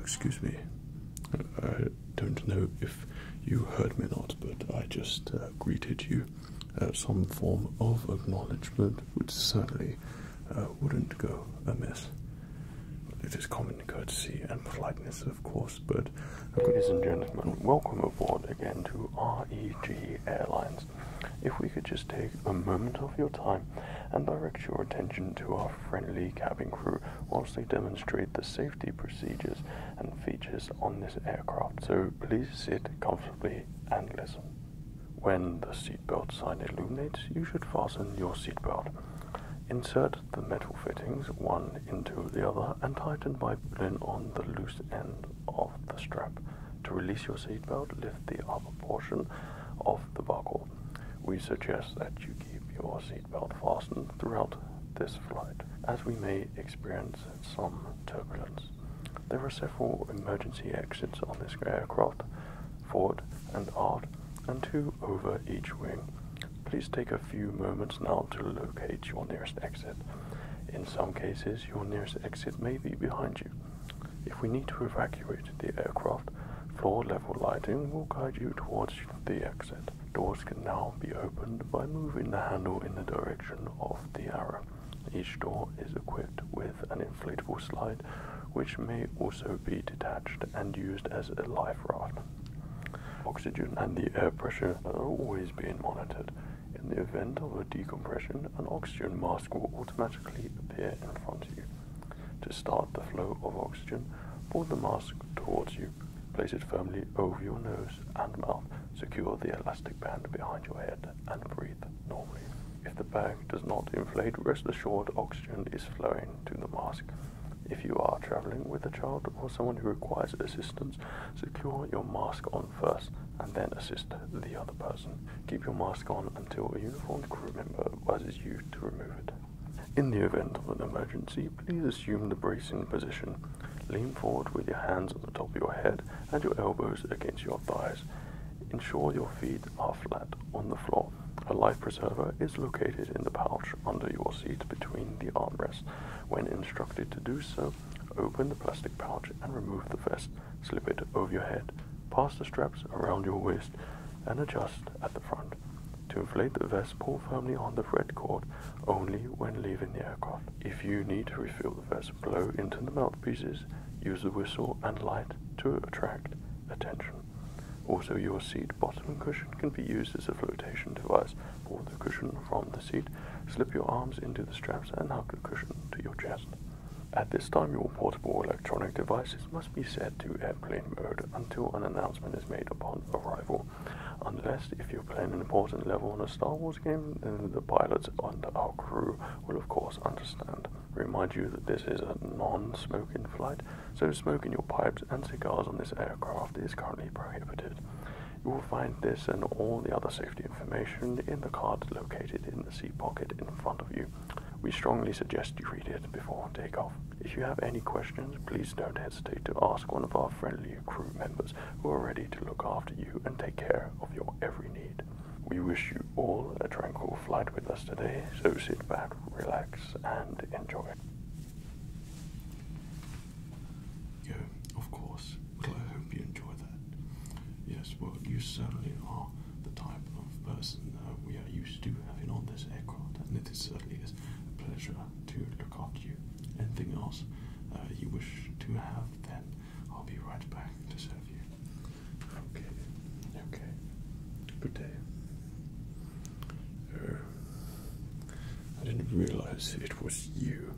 excuse me. I don't know if you heard me or not, but I just uh, greeted you uh, some form of acknowledgement, which certainly uh, wouldn't go amiss. It is common courtesy and politeness, of course, but ladies and gentlemen, welcome aboard again to REG Airlines. If we could just take a moment of your time and direct your attention to our friendly cabin crew whilst they demonstrate the safety procedures and features on this aircraft. So please sit comfortably possibly When the seatbelt sign illuminates, you should fasten your seatbelt. Insert the metal fittings one into the other and tighten by pulling on the loose end of the strap. To release your seatbelt, lift the upper portion of the buckle. We suggest that you keep your seatbelt fastened throughout this flight, as we may experience some turbulence. There are several emergency exits on this aircraft, forward and aft, and two over each wing. Please take a few moments now to locate your nearest exit. In some cases, your nearest exit may be behind you. If we need to evacuate the aircraft, floor level lighting will guide you towards the exit. Doors can now be opened by moving the handle in the direction of the arrow. Each door is equipped with an inflatable slide, which may also be detached and used as a life raft. Oxygen and the air pressure are always being monitored. In the event of a decompression, an oxygen mask will automatically appear in front of you. To start the flow of oxygen, pull the mask towards you. Place it firmly over your nose and mouth Secure the elastic band behind your head and breathe normally. If the bag does not inflate, rest assured oxygen is flowing to the mask. If you are traveling with a child or someone who requires assistance, secure your mask on first and then assist the other person. Keep your mask on until a uniformed crew member advises you to remove it. In the event of an emergency, please assume the bracing position Lean forward with your hands on the top of your head and your elbows against your thighs. Ensure your feet are flat on the floor. A life preserver is located in the pouch under your seat between the armrests. When instructed to do so, open the plastic pouch and remove the vest. Slip it over your head, pass the straps around your waist, and adjust at the front. To inflate the vest, pull firmly on the red cord only when leaving the aircraft. If you need to refill the vessel, blow into the mouthpieces, use the whistle and light to attract attention. Also, your seat bottom cushion can be used as a flotation device. Pull the cushion from the seat, slip your arms into the straps, and hug the cushion to your chest. At this time, your portable electronic devices must be set to airplane mode until an announcement is made upon arrival. Unless, if you're playing an important level on a Star Wars Wars the pilots and our crew will of course understand. Remind you that this is a non-smoking flight, so smoking your pipes and cigars on this aircraft is currently prohibited. You will find this and all the other safety information in the card located in the seat pocket in front of you. We strongly suggest you read it before takeoff. If you have any questions, please don't hesitate to ask one of our friendly crew members who are ready to look after you and take care of your every need. We wish you all a tranquil flight with us today, so sit back, relax, and enjoy. Yeah, of course. Well, I hope you enjoy that. Yes, well, you certainly are the type of person uh, we are used to having on this aircraft, and it certainly is a pleasure to look after you. Anything else uh, you wish to have, then I'll be right back to serve you. Okay, okay. Good day. Uh, I didn't realize it was you.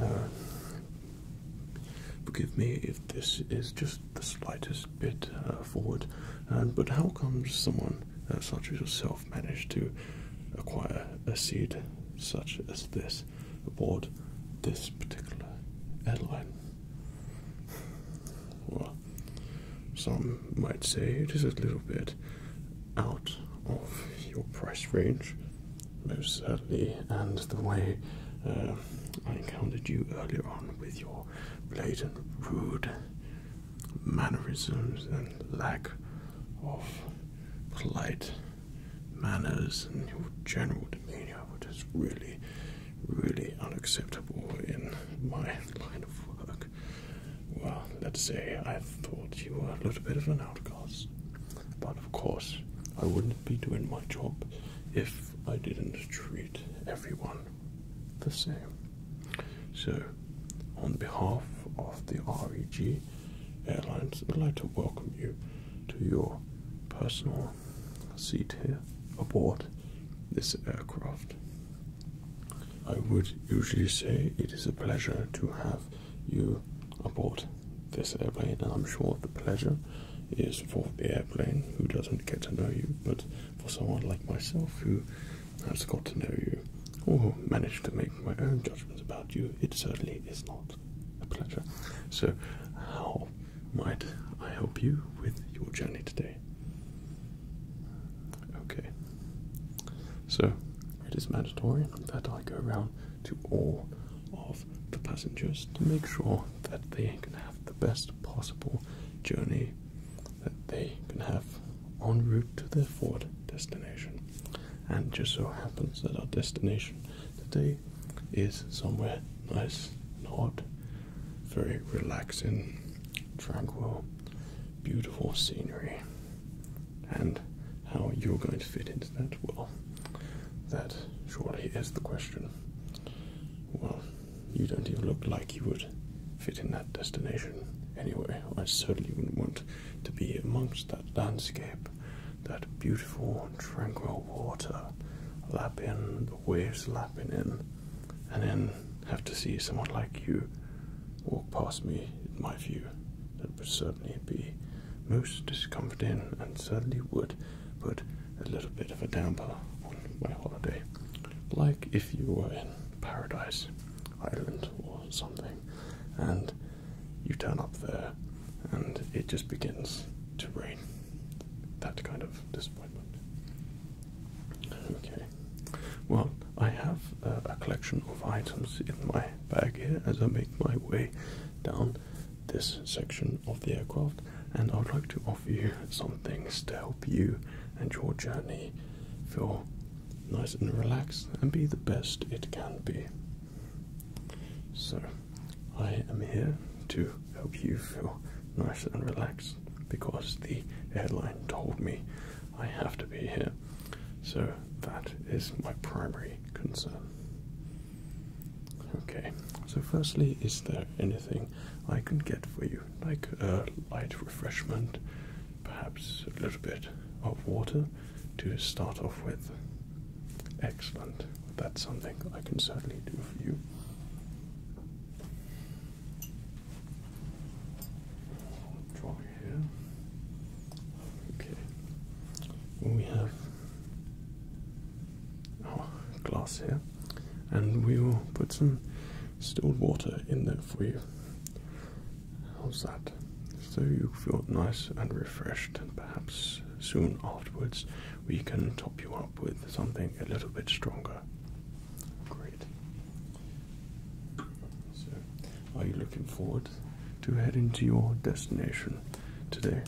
Uh, forgive me if this is just the slightest bit uh, forward, but how comes someone uh, such as yourself managed to acquire a seed such as this aboard this particular airline. Well, some might say it is a little bit out of your price range, most certainly, and the way uh, I encountered you earlier on with your blatant rude mannerisms and lack of polite manners and your general demeanor, which is really, really unacceptable in my line of work. Well, let's say I thought you were a little bit of an outcast, but of course, I wouldn't be doing my job if I didn't treat everyone the same. So, on behalf of the REG, Kiwi Airlines would like to welcome you to your personal seat here aboard this aircraft. I would usually say it is a pleasure to have you aboard this airplane, and I'm sure the pleasure is for the airplane who doesn't get to know you, but for someone like myself who has got to know you or manage to make my own judgments about you, it certainly is not a pleasure. So, how might I help you with your journey today? Okay. So, it is mandatory that I go around to all of the passengers to make sure that they can have the best possible journey, that they can have on route to their forward destination. And just so happens that our destination today is somewhere nice and very relaxing, tranquil, beautiful scenery. And how you're going to fit into that, well, that surely is the question. Well, you don't even look like you would fit in that destination anyway. I certainly wouldn't want to be amongst that landscape, that beautiful, tranquil water, lap the waves lapping in, and then have to see someone like you walk past me in my view. That would certainly be most discomforting and certainly would put a little bit of a damper on my holiday. Like if you were in Paradise Island or something and you turn up there and it just begins to rain. That kind of disappointment. Okay, well, I have a collection of items in my bag here as I make my way down this section of the aircraft, and I would like to offer you some things to help you and your journey feel nice and relaxed and be the best it can be. So, I am here to help you feel nice and relaxed because the airline told me I have to be here. So, that is my primary concern. Okay, so firstly, is there anything I can get for you? Like a light refreshment, perhaps a little bit of water? to start off with. Excellent. That's something I can certainly do for you. draw here. Okay. We have our oh, glass here, and we will put some still water in there for you. How's that? So you feel nice and refreshed, and perhaps soon afterwards we can top you up with something a little bit stronger. Great. So, are you looking forward to heading to your destination today?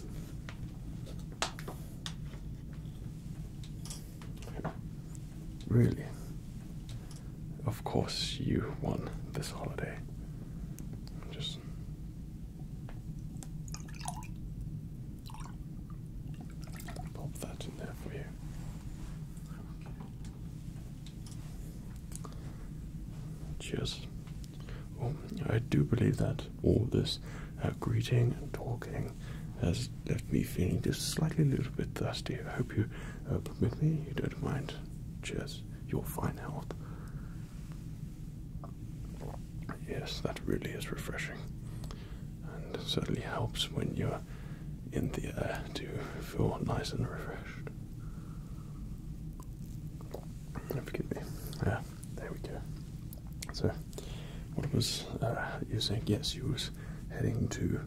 Really? Of course, you won this holiday. Just. Pop that in there for you. Cheers. I do believe that all this uh, greeting and talking has left me feeling just slightly a little bit thirsty. I hope you uh, permit me, you don't mind. Cheers. Your fine health. Yes, that really is refreshing. And certainly helps when you're in the air to feel nice and refreshed. Oh, forgive me. Yeah, there we go. So, what was uh, you saying? Yes, you was heading to,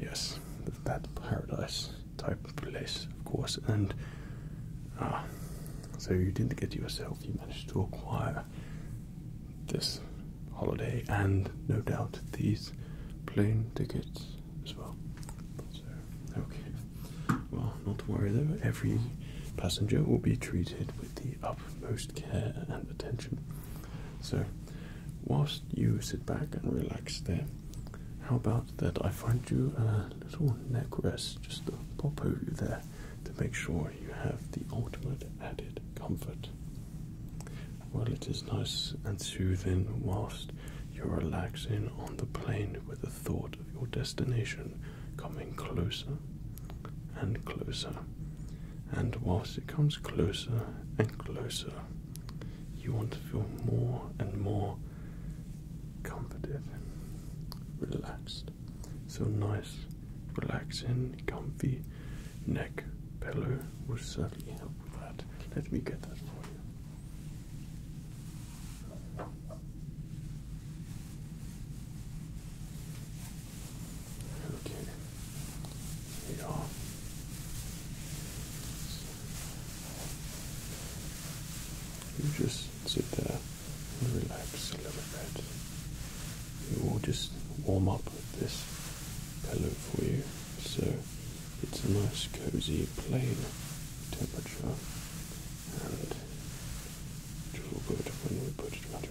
yes, that paradise type of place, of course. And ah, so you didn't get yourself, you managed to acquire this holiday and no doubt these plane tickets as well. So, okay. Well, not to worry though, every passenger will be treated with the utmost care and attention. So, whilst you sit back and relax there, how about that I find you a little neck rest just to pop over there to make sure you have the ultimate added comfort? Well, it is nice and soothing whilst you're relaxing on the plane with the thought of your destination coming closer and closer. And whilst it comes closer and closer, you want to feel more and more comforted, relaxed. So nice, relaxing, comfy neck pillow will certainly help with that. Let me get that for you. Okay, here you just sit there and relax a little bit. We will just warm up this pillow for you so it's a nice, cozy, plain temperature and it will feel when we put your neck.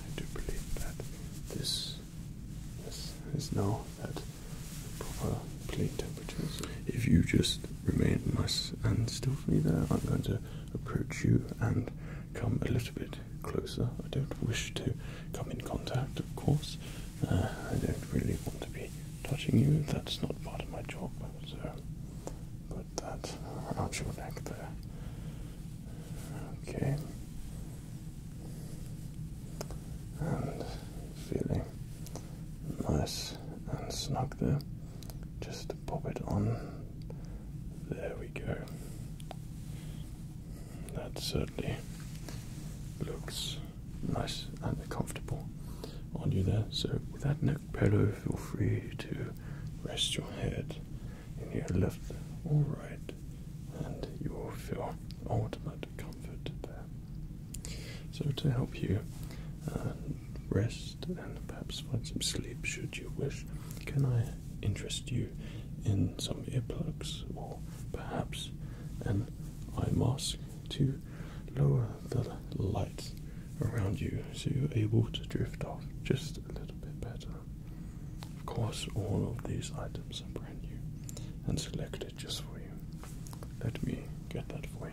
I do believe that this is, is now that if you just remain nice and still for me there, I'm going to approach you and come a little bit closer. I don't wish to come in contact, of course. Uh, I don't really want to be touching you. That's not part of my job. So put that out your neck there. Okay. And feeling nice and snug there. Just pop it on. There we go. That certainly looks nice and comfortable on you there. So, with that neck pillow, feel free to rest your head in your left or right, and you will feel ultimate comfort there. So, to help you uh, rest and perhaps find some sleep should you wish, can I interest you in some earplugs or perhaps an eye mask to lower the lights around you so you're able to drift off just a little bit better? Of course, all of these items are brand new and selected just for you. Let me get that for you.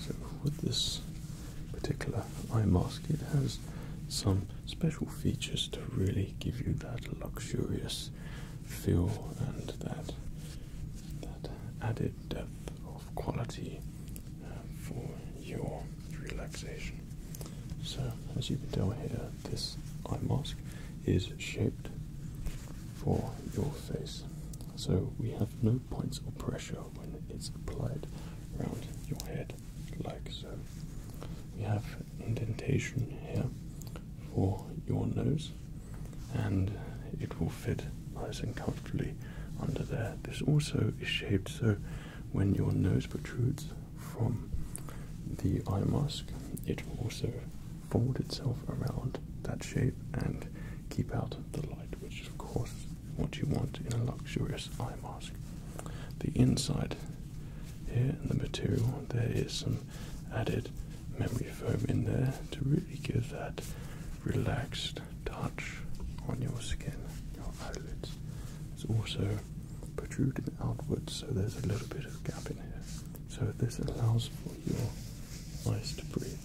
So with this particular eye mask, it has some special features to really give you that luxurious feel and that that added depth of quality uh, for your relaxation. So as you can tell here, this eye mask is shaped for your face. So we have no points or pressure when it's applied around your head, like so. We have indentation here for your nose, and it will fit nice and comfortably under there. This also is shaped so when your nose protrudes from the eye mask, it will also fold itself around that shape and keep out the light, which is, of course, what you want in a luxurious eye mask. The inside here in the material, there is some added memory foam in there to really give that relaxed touch on your skin, your eyelids. It's also protruding outwards, so there's a little bit of gap in here. So this allows for your eyes to breathe.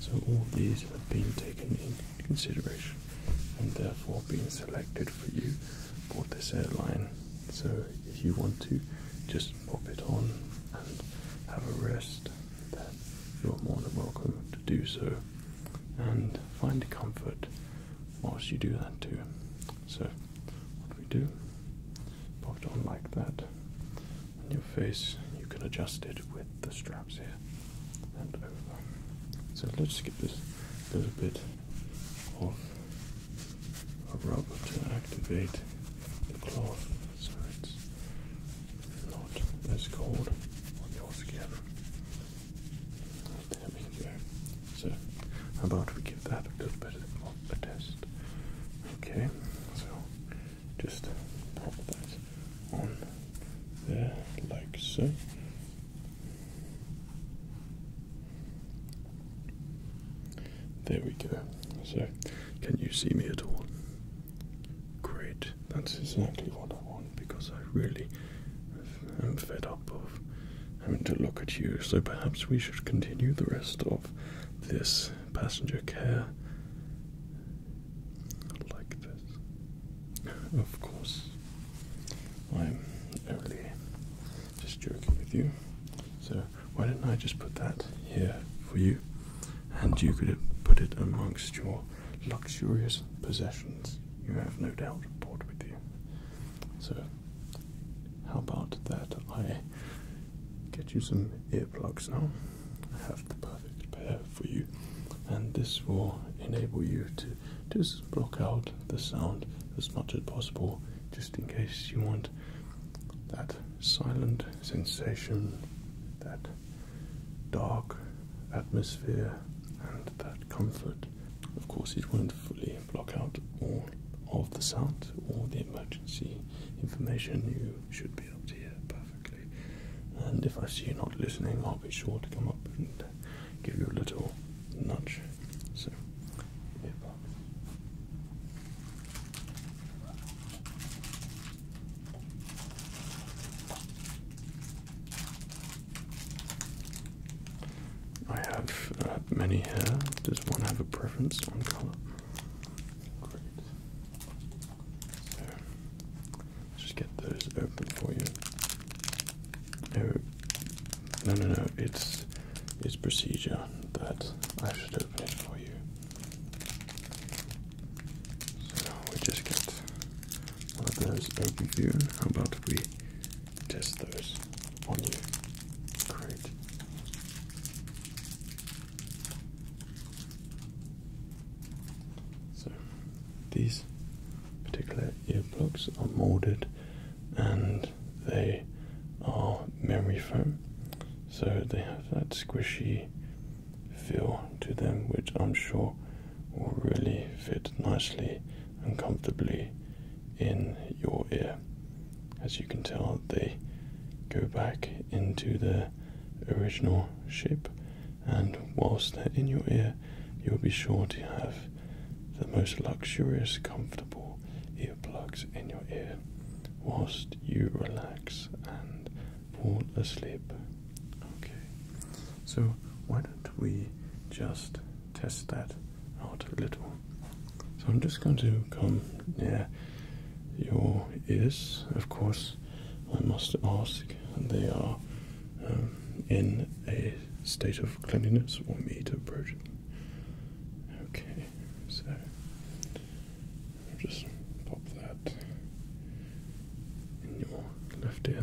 So all these have been taken into consideration and therefore being selected for you for this airline. So if you want to just pop it on and have a rest, then you're more than welcome to do so and find comfort whilst you do that too. So what we do, pop it on like that. And your face, you can adjust it with the straps here and So let's just get this little bit of a rub to activate the cloth so it's not as cold on your skin. There we go. So, how about we give that a little bit of a test? Okay, so just pop that on there, like so. There we go. So, can you see me at all? Great, that's exactly what I want because I really am fed up of having to look at you, so perhaps we should continue the rest of this passenger care like this. Of course, I'm only just joking with you, so why don't I just put that here for you and you could put it amongst your luxurious possessions you have no doubt brought with you. So how about that? I get you some earplugs now. I have the perfect pair for you, and this will enable you to just block out the sound as much as possible, just in case you want that silent sensation, that dark atmosphere, and that comfort of course, it won't fully block out all of the sound or the emergency information. You should be able to hear perfectly. And if I see you are not listening, I'll be sure to come up and give you a little nudge. So, here, I have uh, many here. Does one have a preference on color? Great. So, just get those open for you. No, no, no, no. It's it's procedure that I should open it for you. So we just get one of those open for you. How about we test those on you. Great. So these particular earplugs are molded and they are memory foam. So they have that squishy feel to them which I'm sure will really fit nicely and comfortably in your ear. As you can tell, they go back into their original shape, and whilst they're in your ear, you'll be sure to have the most luxurious, comfortable earplugs in your ear whilst you relax and fall asleep. Okay, so why don't we just test that out a little. So I'm just going to come near your ears. Of course, I must ask, they are um, in a state of cleanliness for me to approach. Okay, so I'll just pop that in your left ear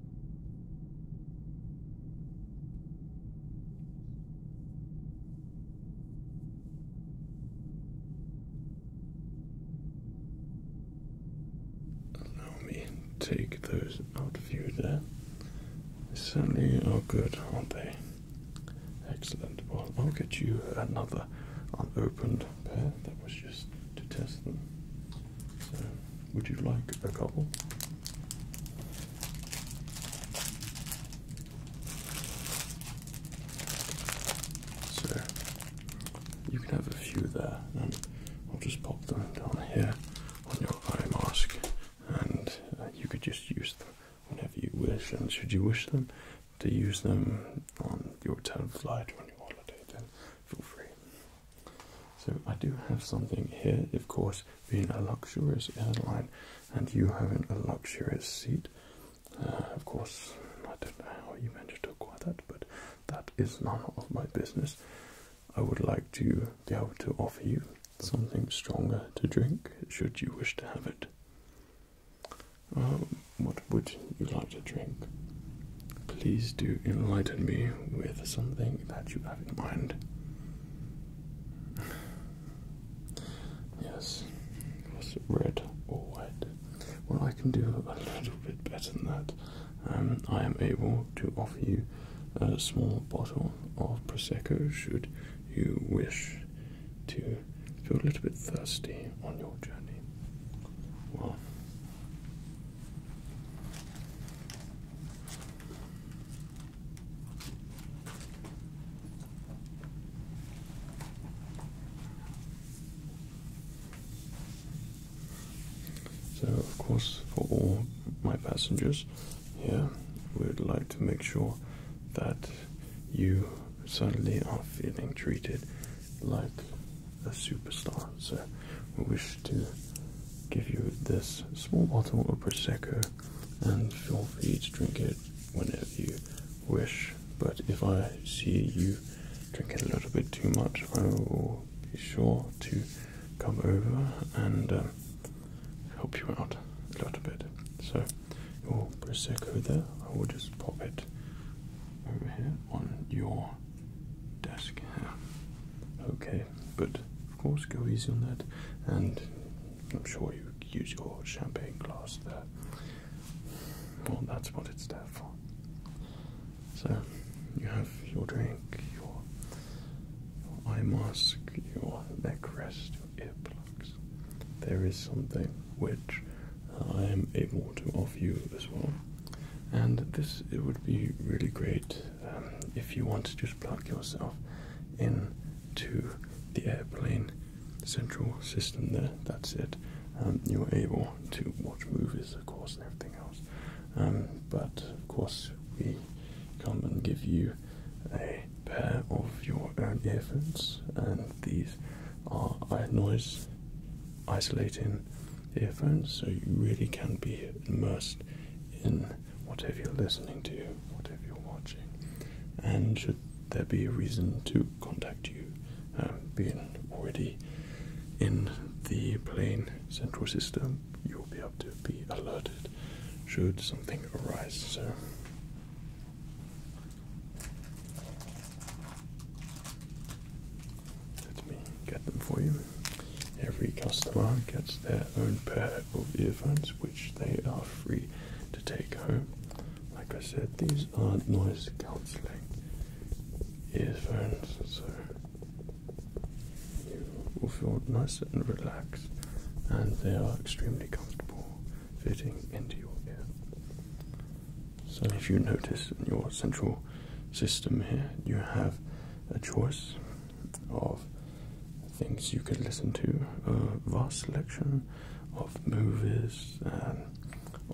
Allow me to take those out of you there. certainly are good, aren't they? Excellent. Well, I'll get you another unopened pair. That was just to test them. So, would you like a couple? So you can have a few there, and I'll just pop them down here on your eye mask, and uh, you could just use them whenever you wish. And should you wish them to use them on your return flight or on your holiday, then feel free. So I do have something here, of course, being a luxurious airline and you having a luxurious seat. Uh, of course, I don't know how you managed to acquire that, but that is none of my business. I would like to be able to offer you something stronger to drink, should you wish to have it. Um, what would you like to drink? Please do enlighten me with something that you have in mind. Yes, was it red or white. Well, I can do a little bit better than that. Um, I am able to offer you a small bottle of prosecco should you wish to feel a little bit thirsty on your journey. Well, so, of course, for all my passengers here, we would like to make sure that you certainly are feeling treated like a superstar. So, we wish to give you this small bottle of Prosecco and feel free to drink it whenever you wish. But if I see you drinking a little bit too much, I will be sure to come over and um, help you out a little bit. So, your Prosecco there, I will just pop it over here on your desk Okay, but of course go easy on that and I'm sure you use your champagne glass there. Well, that's what it's there for. So, you have your drink, your, your eye mask, your neck rest, your earplugs. There is something which I am able to offer you as well, and this it would be really great um, if you want to just plug yourself in to the airplane central system there, that's it. Um, you're able to watch movies, of course, and everything else. Um, but of course, we come and give you a pair of your own earphones, and these are noise isolating earphones so you really can be immersed in whatever you're listening to, whatever you're watching. And should there be a reason to contact you, um, being already in the plane central system, you'll be able to be alerted should something arise. So. Let me get them for you. Every customer gets their own pair of earphones, which they are free to take home. Like I said, these are noise cancelling earphones, so you will feel nice and relaxed, and they are extremely comfortable fitting into your ear. So, if you notice in your central system here, you have a choice of things you can listen to, a vast selection of movies and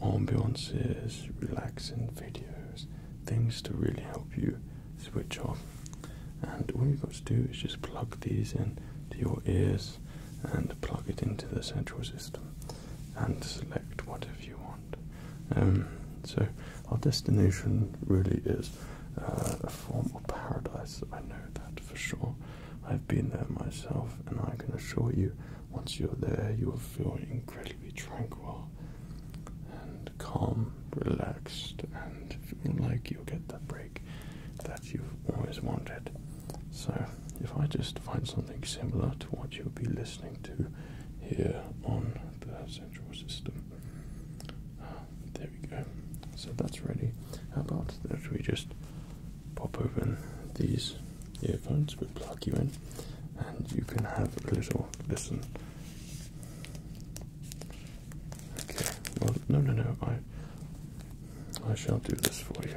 ambiances, relaxing videos, things to really help you switch off. And all you've got to do is just plug these in to your ears and plug it into the central system and select whatever you want. Um, so our destination really is uh, a form of paradise. I know that for sure. I've been there myself, and I can assure you, once you're there, you will feel incredibly tranquil and calm, relaxed, and like you'll get that break that you've always wanted. So, if I just find something similar to what you'll be listening to here on the central system, there we go. So that's ready. How about that we just pop open these earphones, we plug you in, and you can have a little listen. Okay, well, no, no, no, I. I shall do this for you.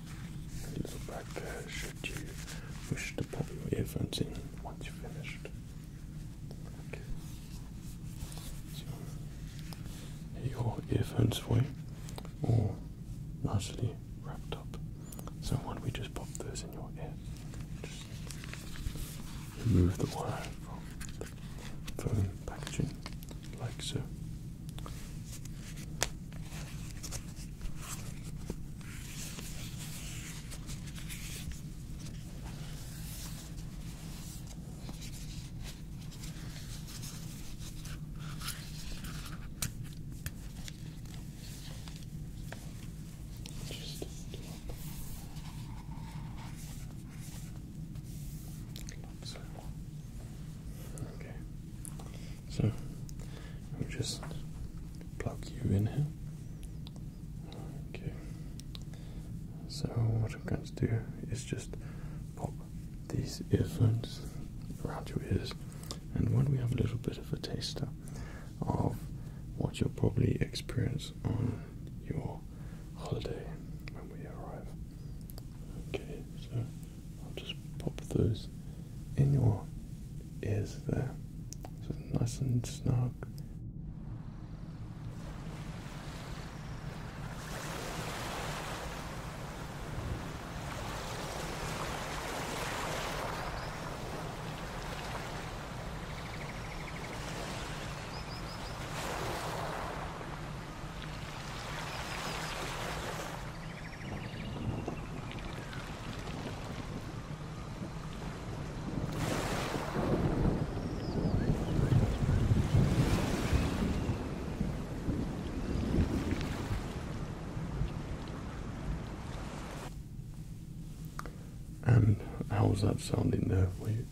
little back should you wish to pop your earphones in once you are finished. So, your earphones for you, all nicely wrapped up. So why we just pop those in your ear? Just remove the wire from the packaging, like so. Just Okay. So we will just plug you in here. Okay. So what I'm going to do is just pop these earphones around your ears, and when we have a little bit of a taster of what you'll probably experience on your holiday when we arrive. Okay, so I'll just pop those in your ears there. So nice and snug. And how's that sounding there for you?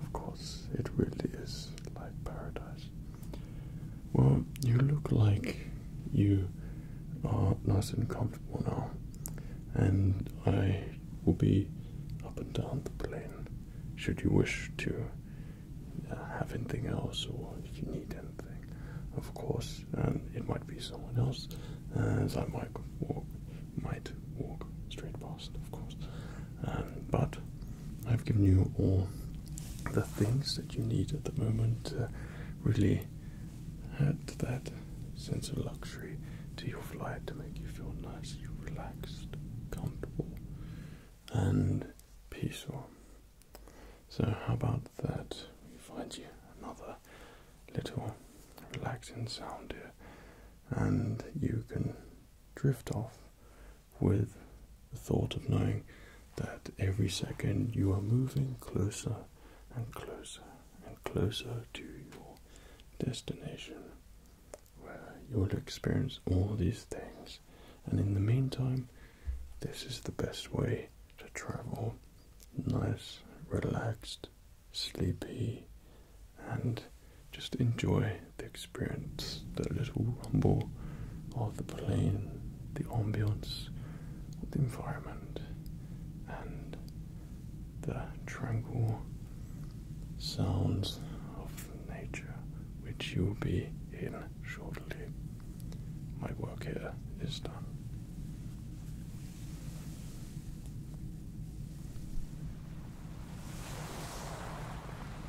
Of course, it really is like paradise. Well, you look like you are nice and comfortable now, and I will be up and down the plane should you wish to uh, have anything else or if you need anything, of course. it might be someone else, as I might walk, might walk straight past, of course. Um, but I've given you all the things that you need at the moment to really add that sense of luxury to your flight to make you feel nice, you relaxed, comfortable, and peaceful. So, how about that? We find you another little relaxing sound here, and you can drift off with the thought of knowing that every second you are moving closer and closer and closer to your destination where you'll experience all these things. And in the meantime, this is the best way to travel nice, relaxed, sleepy, and just enjoy the experience, the little rumble of the plane the ambience, the environment, and the tranquil sounds of nature, which you will be in shortly. My work here is done.